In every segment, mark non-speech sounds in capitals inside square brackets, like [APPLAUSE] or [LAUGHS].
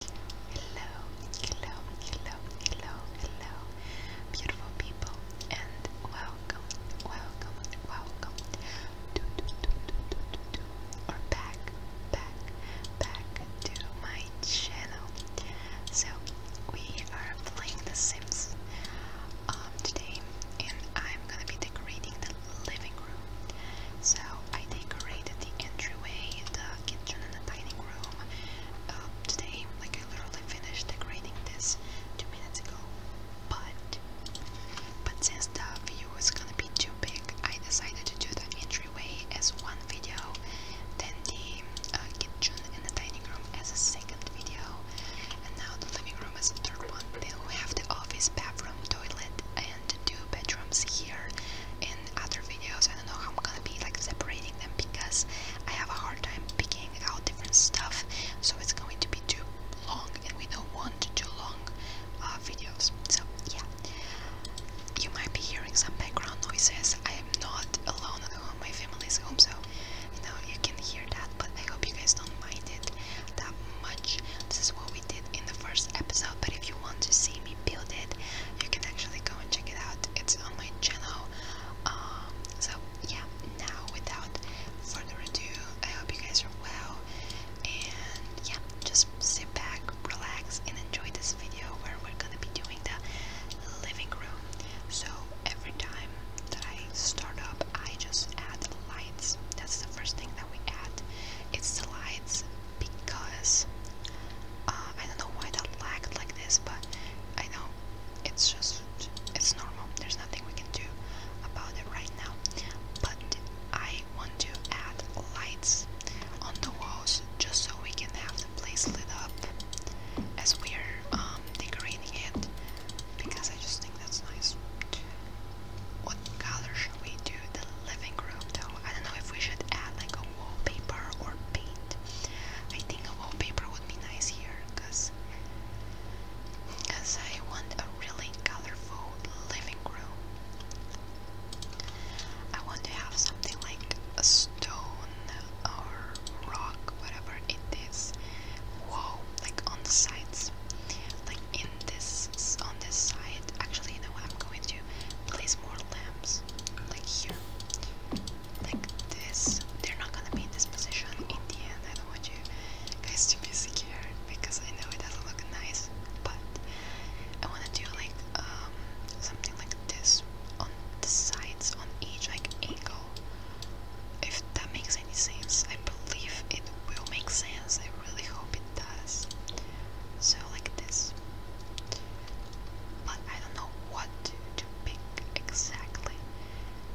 Hello, hello, hello, hello, hello, beautiful people, and welcome, welcome, welcome to, to, to, to, to, to, to or back, back, back to my channel. So, we are playing The Sims um, today, and I'm gonna be decorating the living room. So I decorated the entryway, the kitchen, and the dining room um, today. Like I literally finished decorating this two minutes ago. But but since the view is gonna be too big, I decided to do the entryway as one video, then the uh, kitchen and the dining room as a second video, and now the living room as a third one. Then we have the office, bathroom, toilet, two bedrooms here. In other videos, I don't know how I'm gonna be like separating them because I have a hard time picking out different stuff, so it's going to be too long, and we don't want too long uh, videos. So yeah, you might be hearing some background noises. I am not alone at home; my family is home, so you know you can hear that. But I hope you guys don't mind it that much. This is what we did in the first episode. But if you want to see me build it, you can actually go and check it out. It's on my channel. Um, so yeah, now without further ado, I hope you guys are well. And yeah, just sit back, relax, and enjoy this video where we're gonna be doing the living room. So every time that I start up, I just add lights. That's the first thing that we add. It's the lights because uh, I don't know why that lagged like this, but I know it's just it's normal. There's nothing we can do about it right now. But I want to add lights on the walls just so we can have the place lit up as we're um, decorating it because I just think that's nice. What color should we do? The living room, the I don't know if we should add like a wallpaper or paint. I think a wallpaper would be nice here because because I want a really colorful living room. I want to have something like a stone or rock, whatever it is, wall like on the sides. Like in this on this side. Actually, you know, what? I'm going to place more lamps like here, like this. They're not gonna be in this position in the end. I don't want you guys to be scared because I know it doesn't look nice, but I wanna do like um something like this on the sides on each like angle. If that makes any sense, I believe it will make sense. I really hope it does. So like this. But I don't know what to, pick exactly.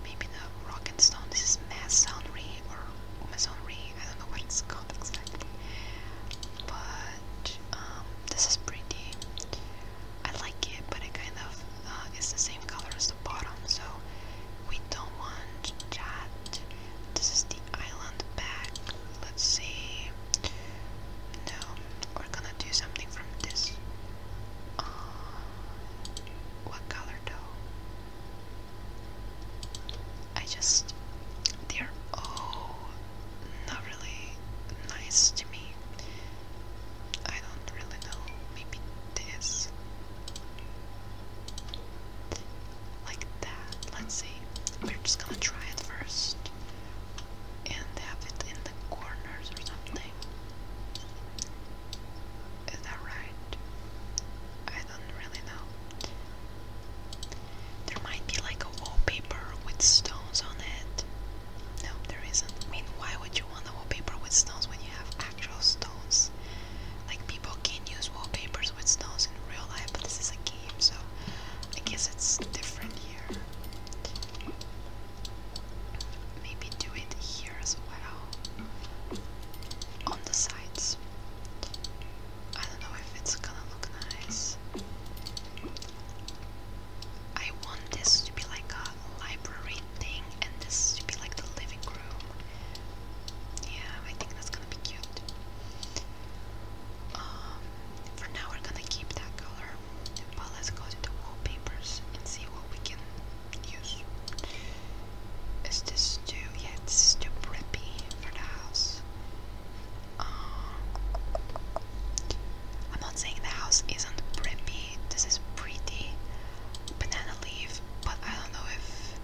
Maybe the rock and stone. This is masonry or masonry. I don't know what it's called exactly. But um, this is pretty. I like it, but it kind of uh, is the same color as the bottom. So we don't want that. This is the island back let's see. No, we're gonna do something from this. Uh, what color though? I just. They're all oh, not really nice to me. I don't really know. Maybe this. Like that. Let's see. We're just gonna try it first and have it in the corners or something. Is that right? I don't really know. There might be like a wallpaper with stones on it. No, there isn't. I mean, why would you want a wallpaper with stones when you have actual stones? Like, people can use wallpapers with stones in real life, but this is a game, so I guess it's different here. Maybe do it here as well. On the sides. I don't know if it's gonna look nice. I want this to be like a library thing and this to be like the living room. Yeah, I think that's gonna be cute. Um, for now we're gonna keep that color, but let's go to wallpapers and see what we can use. Is this too, yeah, this too preppy for the house. Um, I'm not saying the house isn't preppy, this is pretty banana leaf, but I don't know if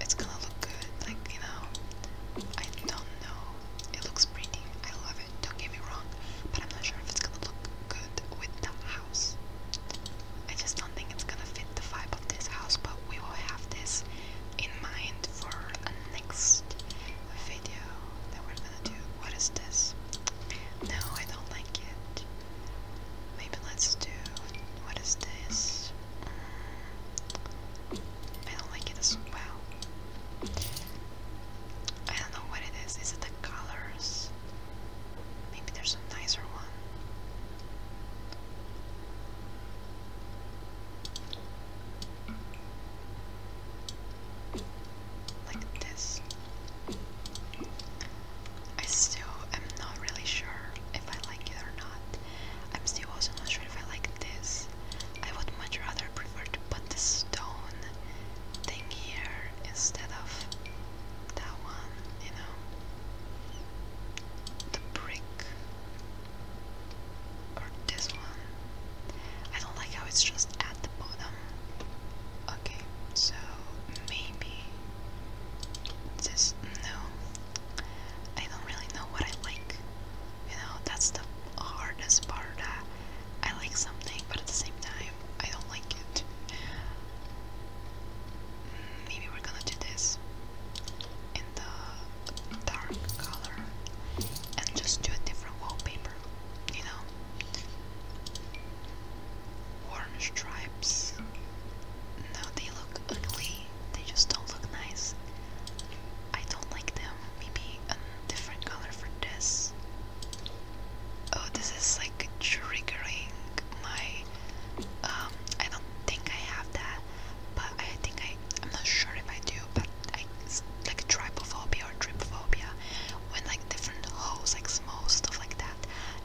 it's gonna look good. Like, you know, I don't know. It looks pretty. I love it. Don't get me wrong. But I'm not sure if it's gonna look good with that house. I just don't think it's gonna fit the vibe of this house, but we will have this in mind for a next video that we're gonna do. What is this? No, I don't like it. Maybe let's do. What is this? Mm, I don't like it as well. I don't know what it is. Is it the colors? Maybe there's a nicer one. Like this. I still am not really sure if I like it or not. I'm still also not sure if I like this. I would much rather prefer to put the stone thing here instead of that one, you know. The brick. Or this one. I don't like how it's just at the bottom. Okay, so maybe this. No. I don't really know what I like. You know, that's the hardest part. I like something, but at the same time, I don't like it. Maybe we're gonna do this in the dark color and just do a different wallpaper, you know? Orange stripes. No, they look ugly they just don't look nice. I don't like them. Maybe a different color for this. Oh, this is like triggering my. Um, I don't think I have that, but I think I. I'm not sure if I do, but I it's like trypophobia or trypophobia when like different holes, like small stuff like that.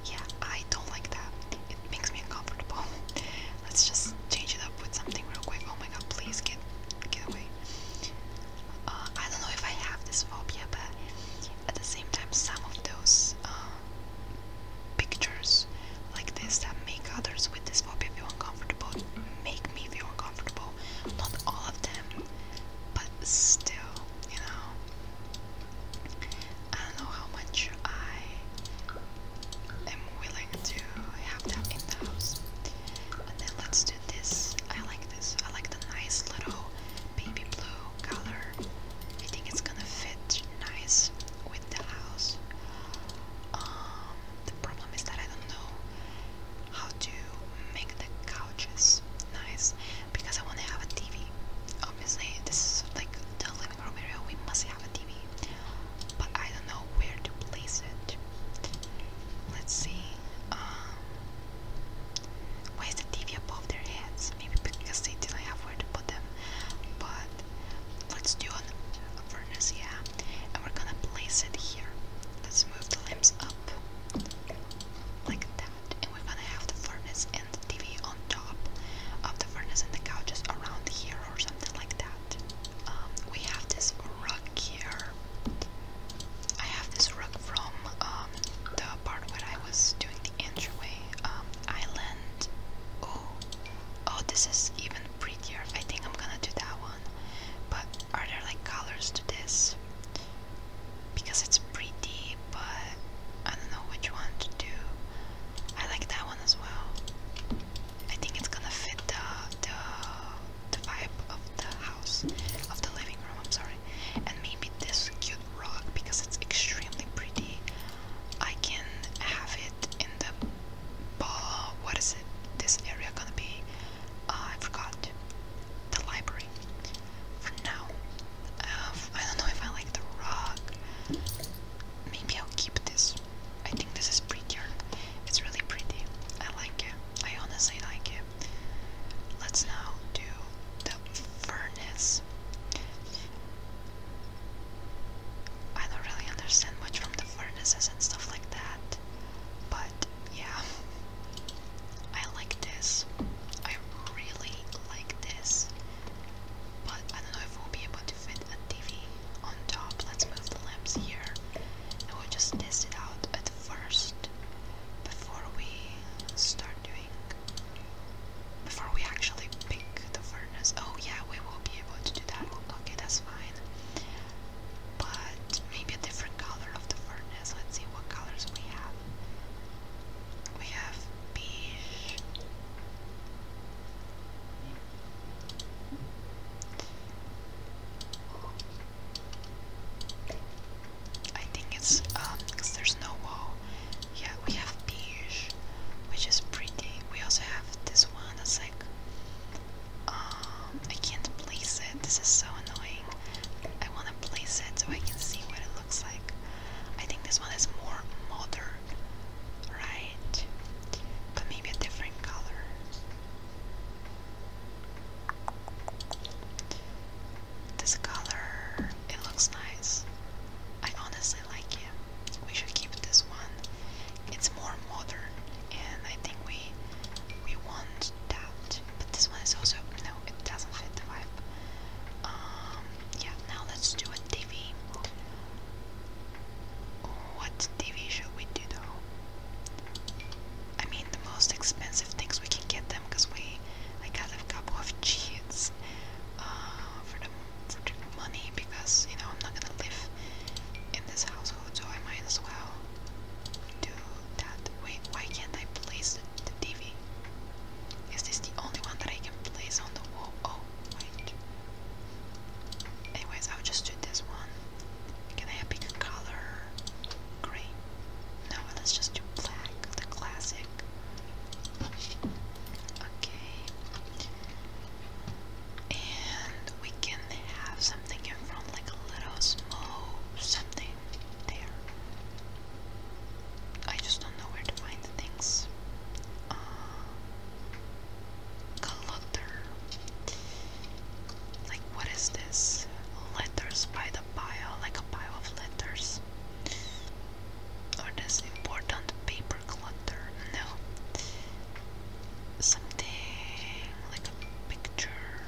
Yeah, I don't like that. It makes me uncomfortable. [LAUGHS] Let's just change it up with something real quick. Oh my god, please get get away. Uh, I don't know if I have this phobia, but at the same time, some of those um, pictures like this that make others with this phobia feel uncomfortable make me feel uncomfortable. Not all of them, but still, you know. I don't know how much I I'm willing to have them in the house. And then let's do this. I like this. I like the nice little baby blue color. I think it's gonna fit nice with the house. Um, the problem is that I don't know how to make the couches nice because I want to have a TV. Obviously, this is like the living room area. We must have a TV. But I don't know where to place it. Let's see. Um, the TV above their heads? Maybe because they didn't have where to put them. But let's do a furnace, yeah. And we're gonna place it here. Let's move the limbs up like that. And we're gonna have the furnace and the TV on top of the furnace and the couches around here or something like that. Um, we have this rug here. I have this rug from um, the part where I was doing the entryway um, island. Oh, oh, this is even prettier. I think I'm gonna do that one. But are there like colors to this? Because it's pretty, but I don't know which one to do. I like that one as well. I think it's gonna fit the, the, vibe of the house, of the living room, I'm sorry. And maybe this cute rug, because it's extremely pretty, I can have it in the ball, what is it, this area gonna be, uh, I forgot, the library. For now, uh, I don't know if I like the rug. Maybe I'll keep this I think this is prettier. It's really pretty. I like it. I honestly like it. Let's now do the furnace. I don't really understand much from the furnaces and stuff like that, but yeah, [LAUGHS] I like this. I really like this, but I don't know if we'll be able fit a TV on top. Let's move the lamps here and will just test it out at first before we start doing before we actually pick the furnace. Oh yeah, we will be able to do that. Okay, that's fine. But maybe a different color of the furnace. Let's see what colors we have. We have beige. I think it's um there's no wall. Yeah, we have beige, which is pretty. We also have this one that's like um I can't place it. This is so annoying. I want to place it so I can see what it looks like. I think this one is more modern, right? But maybe a different color. This color, it looks nice. I honestly like it. We should keep this one. It's more modern, and I think we we want that. But this one is also no, it doesn't fit the vibe. Um, yeah. Now let's do a TV. What TV should we do though? I mean, the most expensive things we can get them because we, I got a couple of cheats uh, for the money because you know I'm not gonna live in this household, so I might as well do that. Wait, why can't I place the, the TV? Is this the only one that I can place on the wall? Oh, wait. Anyways, I'll just do this one. Can I have bigger color? Gray. No, let's just do black, the classic. Okay. And we can have something in front, like a little small something there. I just don't know where to find things. Uh, Clutter. Like, what is this? Letters by the pile, like a pile of letters. Or this important paper clutter. No. Something like a picture.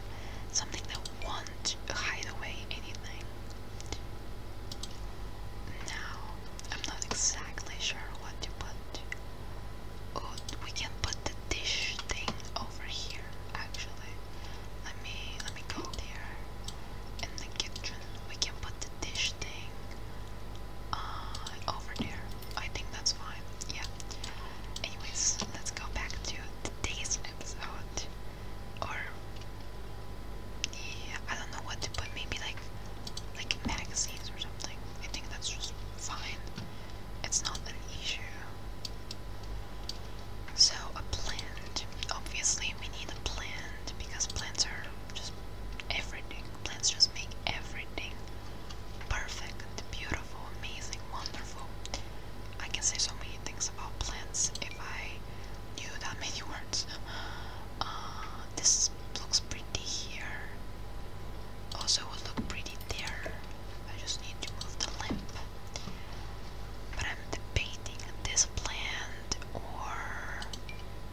Something that won't hide away anything. Now, I'm not exactly sure what to put. Oh, we can put the dish thing over here. Actually, let me let me go there. In the kitchen, we can put the dish thing uh, over there. I think that's fine. Yeah. Anyways, let's go back to today's episode. Or yeah, I don't know what to put. Maybe like like magazines or something. I think that's just fine it's not an issue. So a plant, obviously we need a plant because plants are just everything. Plants just make everything perfect, beautiful, amazing, wonderful. I can say so many things about plants if I knew that many words. Uh, this looks pretty here. Also would look pretty there. I just need to move the lamp. But I'm debating this plant or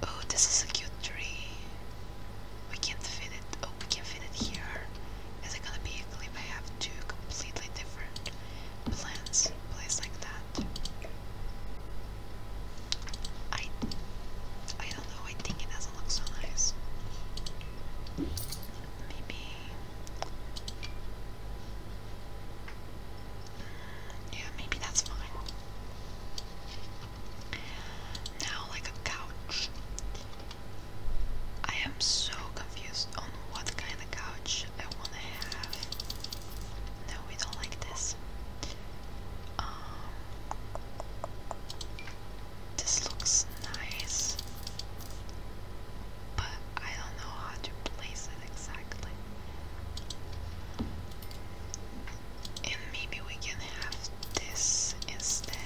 oh this is a cute tree. We can't fit it. Oh we can fit it here. Is it gonna be a clip? I have two completely different plants placed like that. I I don't Although I think it doesn't look so nice. Maybe. Yeah, maybe that's fine. Now, like a couch. I am so confused on what kind of couch I want to have. No, we don't like this. Um, this looks nice, but I don't know how to place it exactly. And maybe we can have this instead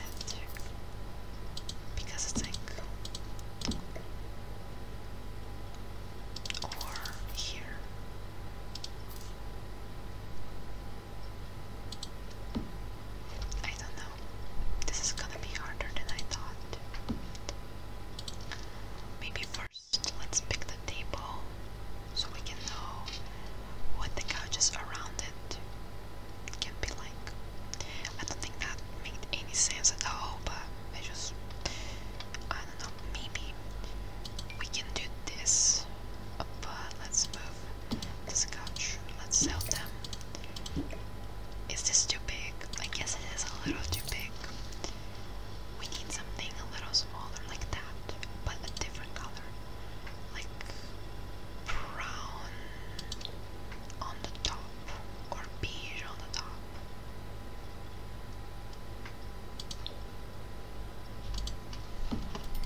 because it's like or here. I don't know. This is gonna be harder than I thought. Maybe first let's pick the table so we can know what the couches around it can be like. I don't think that made any sense at all, but I just I don't know, maybe we can do this but let's move Scotch. Let's sell them. Is this too big? I guess it is a little too big. We need something a little smaller like that, but a different color. Like brown on the top or beige on the top.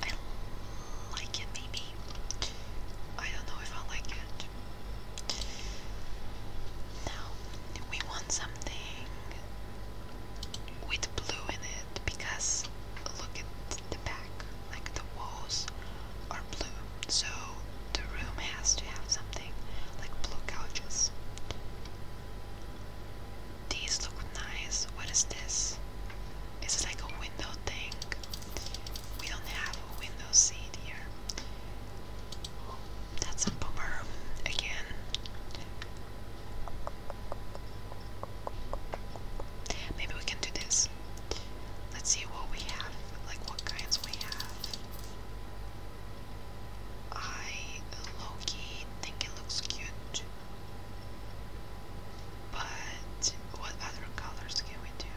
I like it maybe. I don't know if I like it. Now, we want something with blue in it because look at the back, like the walls are blue. So the room has to have something like blue couches. These look nice. What is this? It's like a window thing. We don't have a window seat here. That's a bummer again. Maybe we can do this. Let's see what we have, like what kinds we have. I low think it looks cute. But what other colors can we do?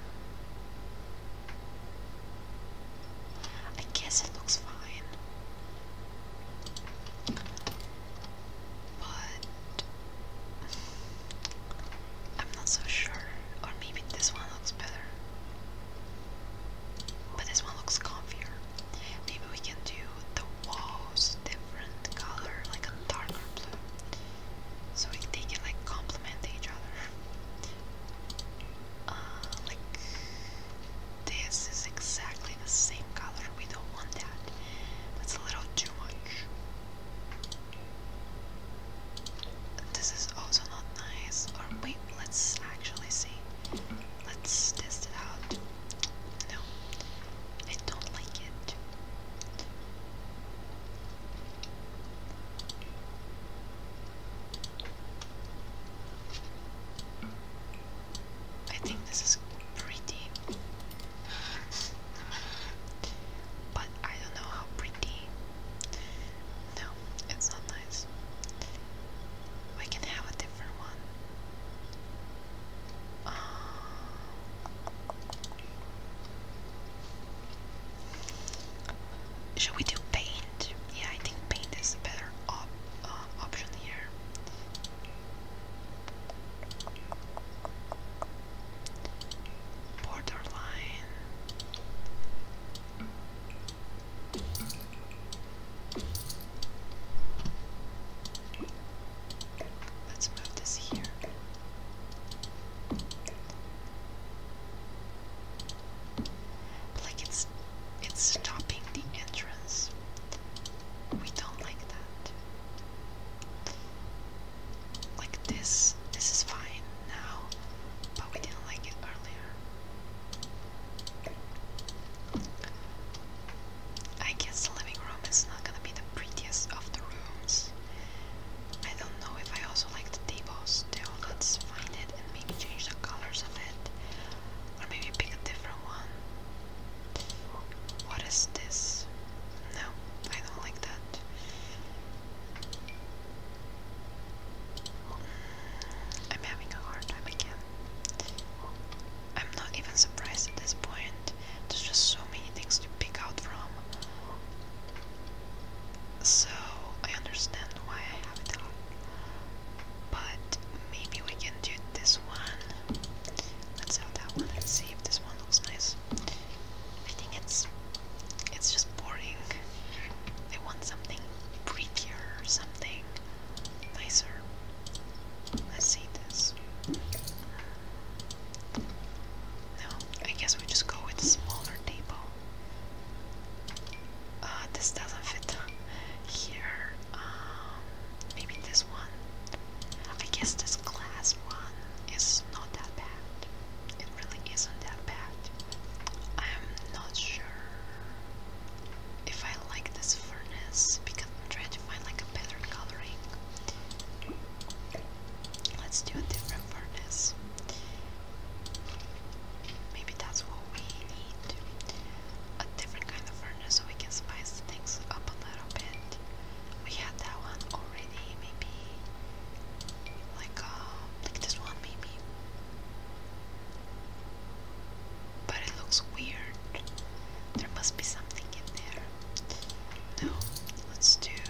I guess it looks fine. But I'm not so sure. Or maybe this one looks better. But this one looks comfier. Maybe we can do the walls, different color, like a darker blue. So they can like complement each other. Uh, like this is exactly the same color. We don't want that. That's a little too much. This is also not nice. Or wait, let's actually see. Let's test it out. No, I don't like it. I think this is pretty, but I don't know how pretty. No, it's not nice. We can have a different one should we do paint? Yeah, I think paint is a better uh, option here. Borderline. Let's move this here. Like it's it's stopping the entrance. We don't like that. Like this, this is fine now, but we didn't like it earlier. I guess the living room is not gonna be the prettiest of the rooms. I don't know if I also like the table still. Let's find it and maybe change the colors of it. Or maybe pick a different one. What is this? No, I don't like that. I'm having a hard time again. I'm not even surprised at this point. There's just so many things to pick out from. So I understand why I have it out. But maybe we can do this one. Let's have that one and see if this one looks nice. I think it's it's just boring. I want something prettier, something nicer. Let's see this. No, I guess we just go with a smaller table. Uh, this doesn't fit here. Um, maybe this one. I guess this glass one is not that bad. It really isn't that bad. I'm not sure if I like this furnace because I'm trying to find like a better coloring. Let's do a different furnace. Maybe that's what we need. A different kind of furnace so we can spice things up a little bit. We had that one already, maybe. Like uh, like this one maybe. But it looks weird. There must be something in there. No, let's do. Did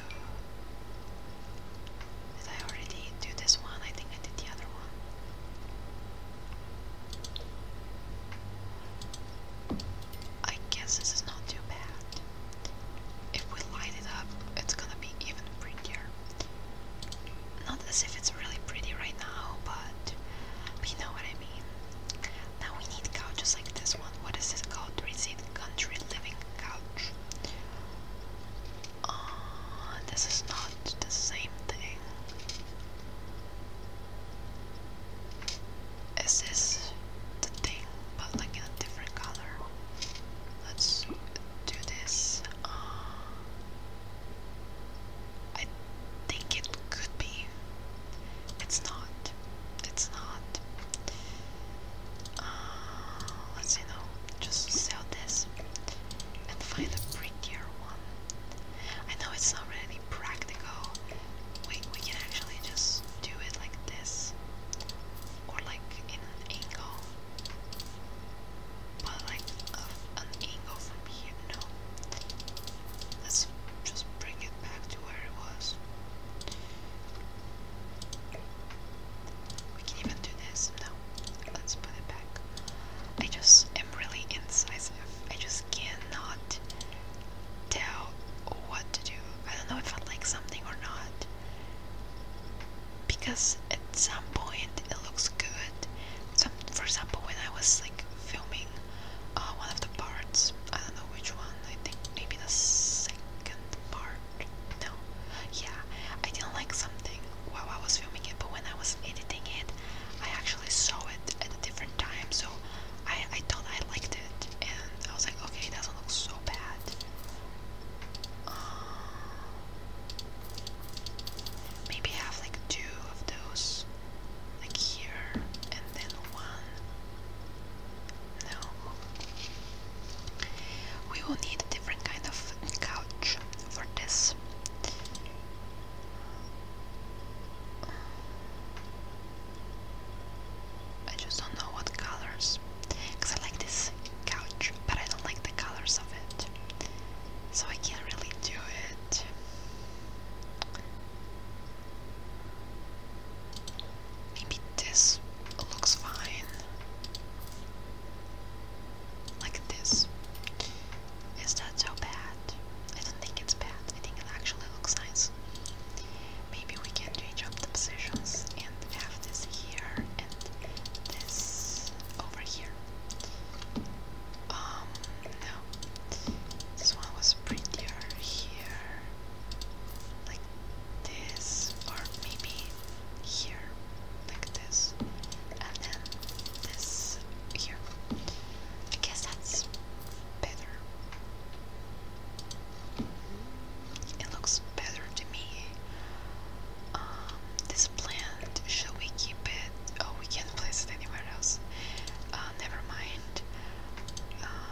I already do this one? I think I did the other one. I guess this is not too bad. If we light it up, it's gonna be even prettier. Not as if it's really pretty right now, but, you know what I mean. Now we need couches like this one. What is this called? Receipt country living couch. Uh, this is not the same thing. Is this the thing, but like in a different color? Let's do this. Uh, I think it could be. It's not. It's not. Uh, let's see though, just sell this and find a prettier one. I know it's not really practical. Wait, we can actually just do it like this, or like in an angle, but like an angle from here. No, let's just bring it back to where it was. We can even do this. No, let's put it back. I just am really incisive. I just cannot tell what to do. I don't know if I like something or not. Because at some point it looks good. Some, for example, when I was like filming uh, one of the parts. I don't know which one. I think maybe the second part. No, yeah, I didn't like something while I was filming it, but when I was editing it, I actually saw it at a different time, so I I thought I liked it, and I was like, okay, it doesn't look so bad. Uh, maybe have like two of those, like here, and then one no. We will need a different kind of couch for this. I just don't know what colors. Because I like this couch, but I don't like the colors of it. So I can't really do it. Maybe this looks fine. Like this. Is that so bad? I don't think it's bad. I think it actually looks nice. Maybe we can change up the and have this here and this over here. Um, no. This one was prettier here like this, or maybe here, like this, and then this here. I guess that's better. It looks better to me. Um, this plant, shall we keep it? Oh, we can't place it anywhere else. Uh, never mind. Um,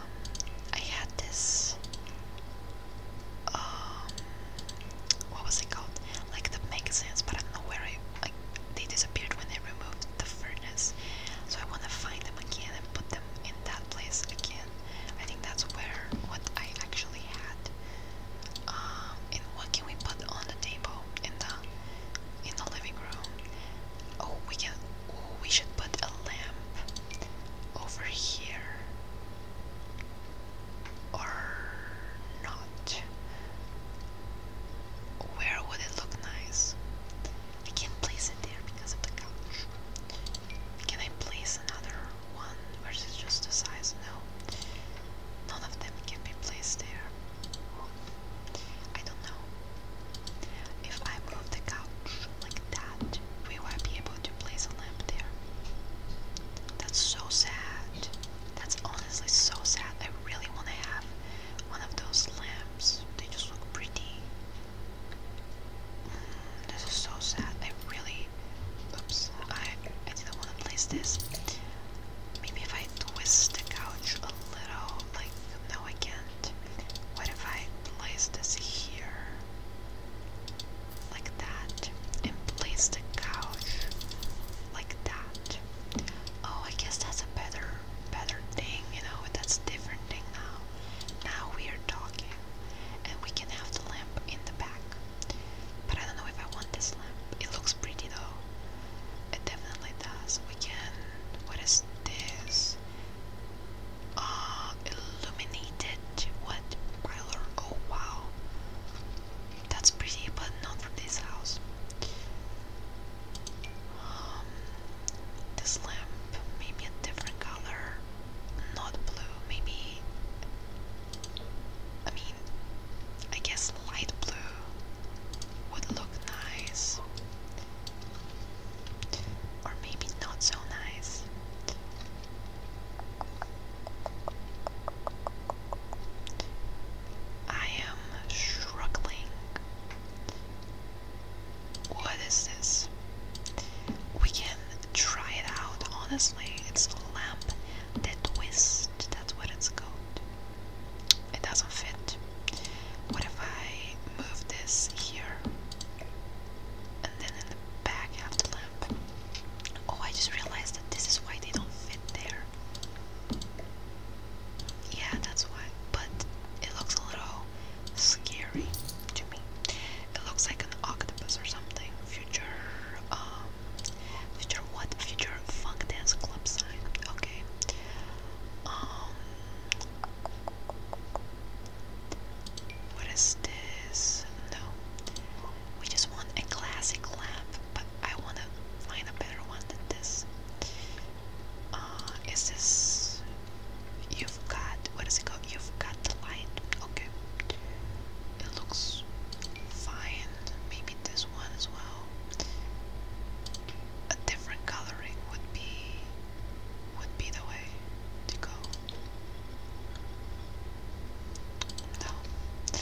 I had this. Um, what was it called? Like the magazines, but I don't know where they disappeared when they removed the furnace, so I want to find them again and put them in that place again. I think that's where what I actually had. Um, and what can we put on the table in the in the living room? Oh, we can. Oh, we should put a lamp over here. Or not. Where would it look nice? I can't place it there because of the couch. Can I place another one? Or just the size? No. None of them can be placed there. I don't know. If I move the couch like that, we will be able to place a lamp there. That's so sad. That's honestly so sad. I really want to have one of those lamps. They just look pretty. Mm, this is so sad. I really. Oops. I, I didn't want to place this. Maybe if I twist the couch a little, like, no, I can't what if I place this here? Like that. And place the couch like that. Oh, I guess that's a better better thing, you know, that's a different thing now. Now we are talking. And we can have the lamp in the back. But I don't know if I want this lamp. It looks pretty though. It definitely does. We can what is this? uh, illuminated with Byler. Oh wow, that's pretty, but not for this house. Um, this lamp, maybe a different color, not blue, maybe. I mean, I guess light blue would look nice or maybe not so nice. I am struggling. What is this? We can try it out, honestly. It's a lamp that twists, that's what it's called. It doesn't fit. What if I move this here? And then in the back have the lamp. Oh, I just realized that this is why they don't fit there. Yeah, that's why. But it looks a little scary to me. It looks like an octopus or something. Future, um, future what? Future funk dance club sign. Okay. Um, what is this? No. We just want a classic lamp, but I want to find a better one than this. Uh, is this. You've got. What is it called? You've got the light. Okay. It looks fine. Maybe this one as well a different coloring would be would be the way to go. No.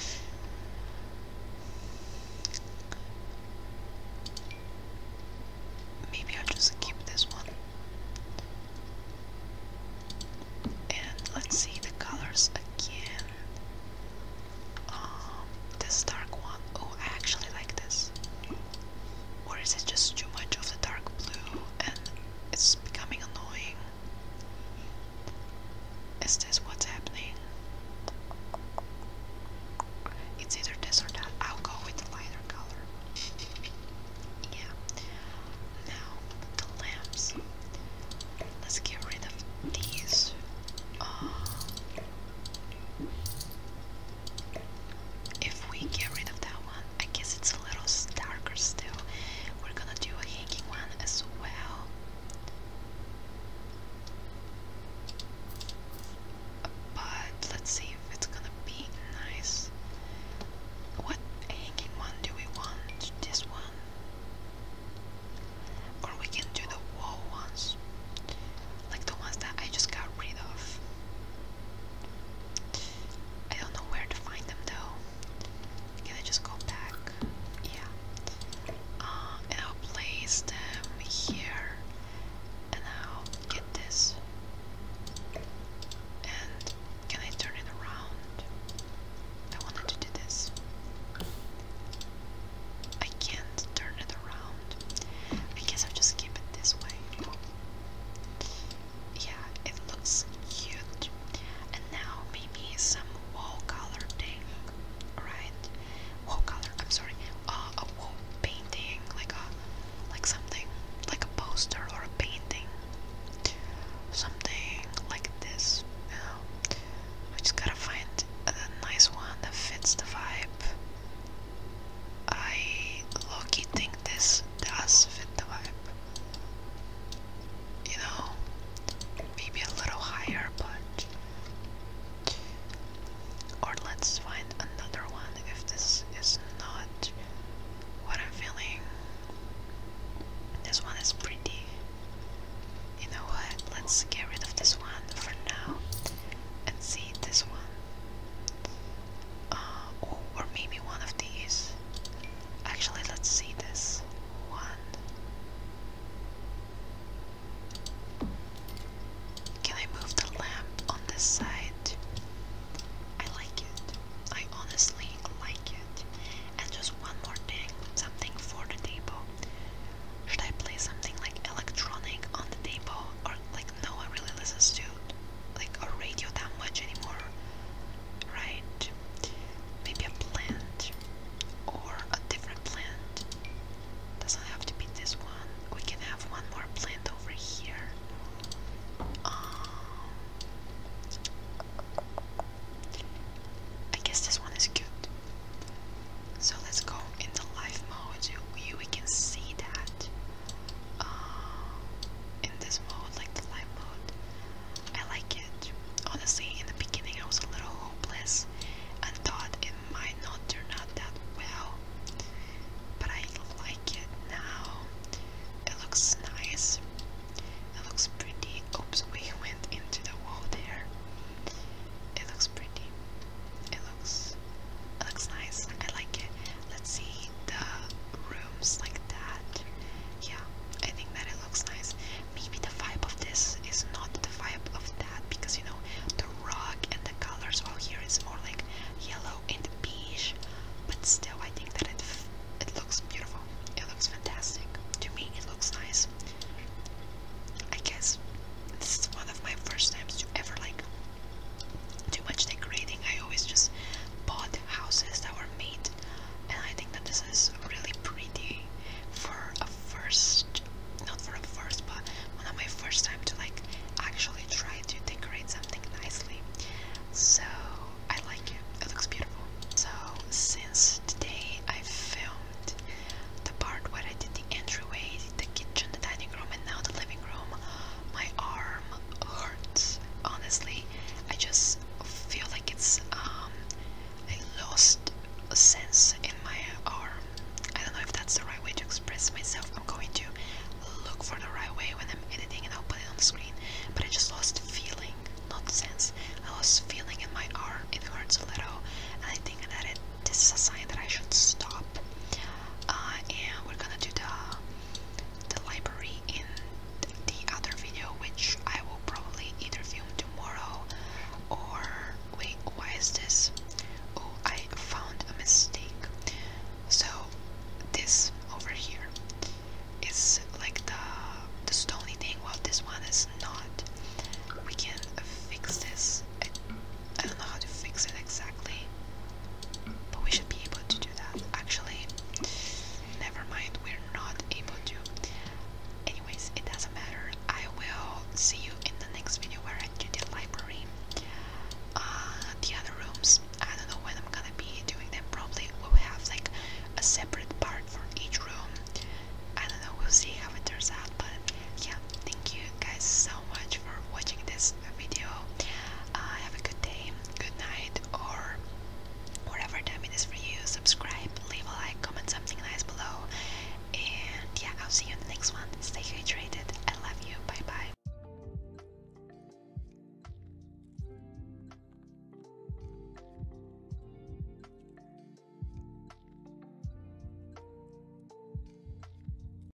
Maybe i just keep this one. And let's see the colors again. Um, this dark one. Oh, I actually like this. Or is it just too much of the dark blue and it's becoming annoying? Is this what's happening? It's either this or that. I'll go with the lighter color. Yeah. Now, the lamps. Let's get rid of these. Uh, if we get rid of that one, I guess it's a little darker still. We're gonna do a hanging one as well. But let's see if it's gonna be nice. What hanging one do we want? This one? Or we can do the wall ones. Like the ones that I just got rid of. I don't know where to find them though. Can I just go back? Yeah. Um, and I'll place them here. And I'll get this. And can I turn it around? I wanted to do this. I can't turn it around. I guess I'll just keep it this way. Yeah, it looks cute. And now maybe some wall color thing, right? Wall color. I'm sorry, uh, a wall painting, like a, like something, like a poster or a painting, something like this. You know, we just gotta find a nice one that fits the vibe. I low think this does fit the vibe. You know, maybe a little higher, but. Or let's find another one if this is not what I'm feeling. This one is pretty. You know what? Let's get rid of this one for now and see this one uh, oh, or maybe one of these. Actually, let's see this one. Can I move the lamp on this side? I like it. I honestly like it. And just one more thing, something for the table. Should I play something like electronic on the table like no one really listens to like a radio that much anymore, right? Maybe a plant or a different plant. Doesn't have to be this one. We can have one more plant over here. Um, I guess this one is cute. So let's go into live mode. we can see that. Um, in this mode, like the live mode. I like it. Honestly, in the beginning I was a little hopeless and thought it might not turn out that well. But I like it now. It looks nice. It looks pretty. Oops, we went into the wall there. It looks pretty it looks looks nice. I like it. Let's see the rooms like that. Yeah, I think that it looks nice. Maybe the vibe of this is not the vibe of that because you know the rug and the colors all here is more like yellow and beige. But still, I think that it it looks beautiful. It looks fantastic to me. It looks nice. I guess this is one of my first times to ever like too much decorating. I always just bought houses that were made, and I think that this is really pretty for a first, not for a first, but one of my first time to like actually try to decorate something nicely. So I like it. It looks beautiful. So since today I filmed the part where I did the entryways the kitchen, the dining room, and now the living room. My arm hurts. Honestly, I just feel like it's um, I lost a sense in my arm. I don't know if that's the right way to express myself. I'm going to look for the right way when I'm editing, and I'll put it on the screen. But I just lost feeling, not sense. I was feeling in my arm. It hurts a little, and I think that This is a sign that I should stop. Uh, and we're gonna do the the library in the other video, which I will probably either film tomorrow or wait. Why is this? Oh, I found a mistake. So this over here is like the the stony thing. Well, this one is not. We can fix this. I don't know how to fix it exactly, but we should be able to do that. Actually, never mind, we're not able to. Anyways, it doesn't matter. I will see you in the next video where I do the library. Uh, the other rooms, I don't know when I'm gonna be doing them. Probably we will have like a separate part for each room. I don't know, we'll see how it turns out. But yeah, thank you guys so so much for watching this video. Uh, have a good day, good night, or whatever time it is for you. Subscribe, leave a like, comment something nice below. And yeah, I'll see you in the next one. Stay hydrated. I love you. Bye bye.